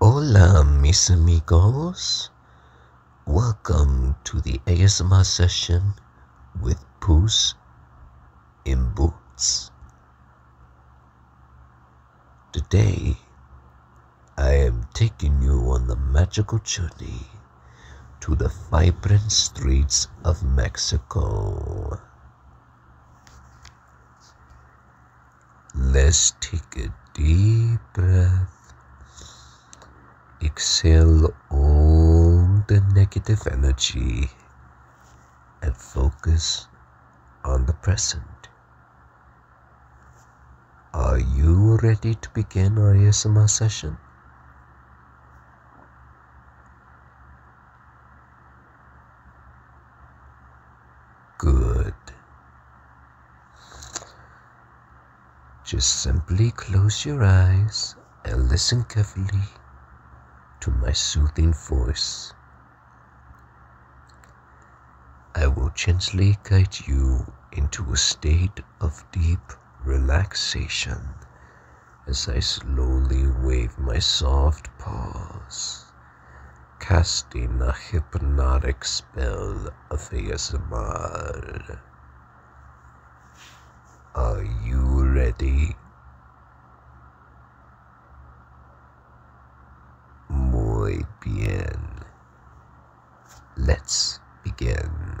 Hola, mis amigos. Welcome to the ASMR session with Poos in Boots. Today, I am taking you on the magical journey to the vibrant streets of Mexico. Let's take a deep breath. Exhale all the negative energy and focus on the present. Are you ready to begin our ASMR session? Good. Just simply close your eyes and listen carefully to my soothing voice. I will gently guide you into a state of deep relaxation as I slowly wave my soft paws, casting a hypnotic spell of ASMR. Are you ready? Muy bien. Let's begin.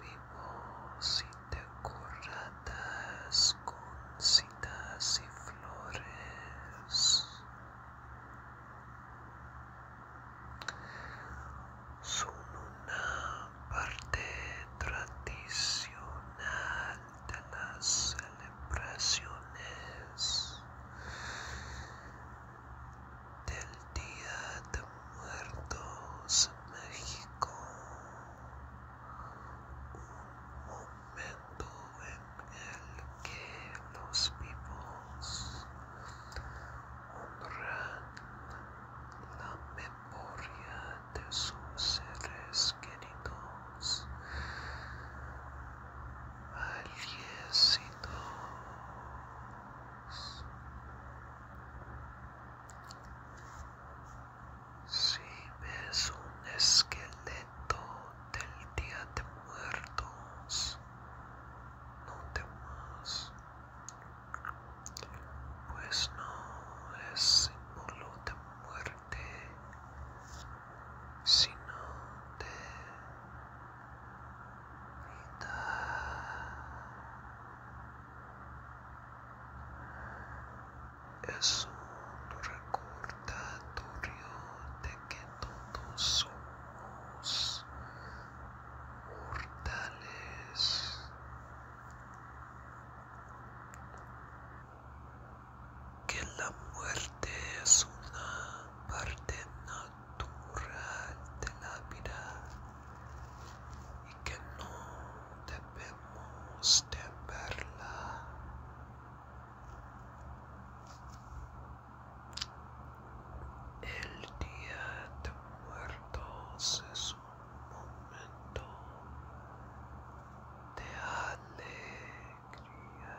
vivos y decoradas con citas y flores. Son una parte tradicional de las celebraciones del Día de Muertos México. Un momento en el que los vivos honran la memoria de sus seres queridos si ves un esqueleto del día de muertos, no temas, pues no es símbolo de muerte, sino de vida es un recordatorio de que todos somos mortales. Que la muerte es una parte natural natural de la vida y que no debemos de verla El día de muertos es un momento de alegría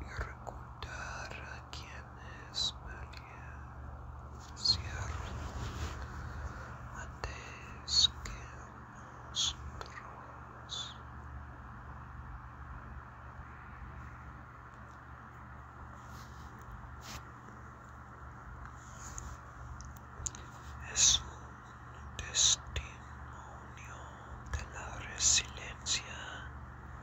y recordar a quienes perecieron antes que nosotros. Es un testimonio de la resiliencia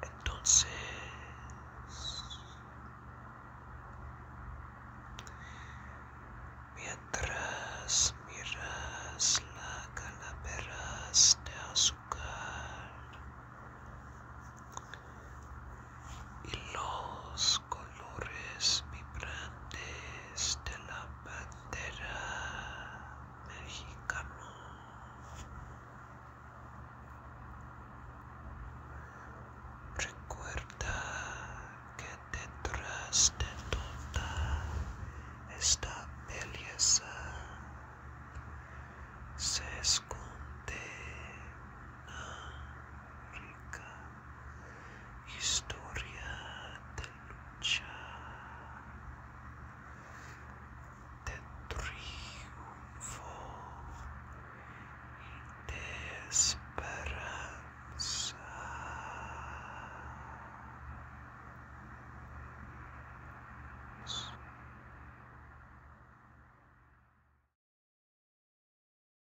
Entonces, mientras miras la calaveras de azúcar y los colores vibrantes de la bandera mexicana. Recuerda que detrás de toda esta belleza se esconde Historia de lucha, de triunfo y de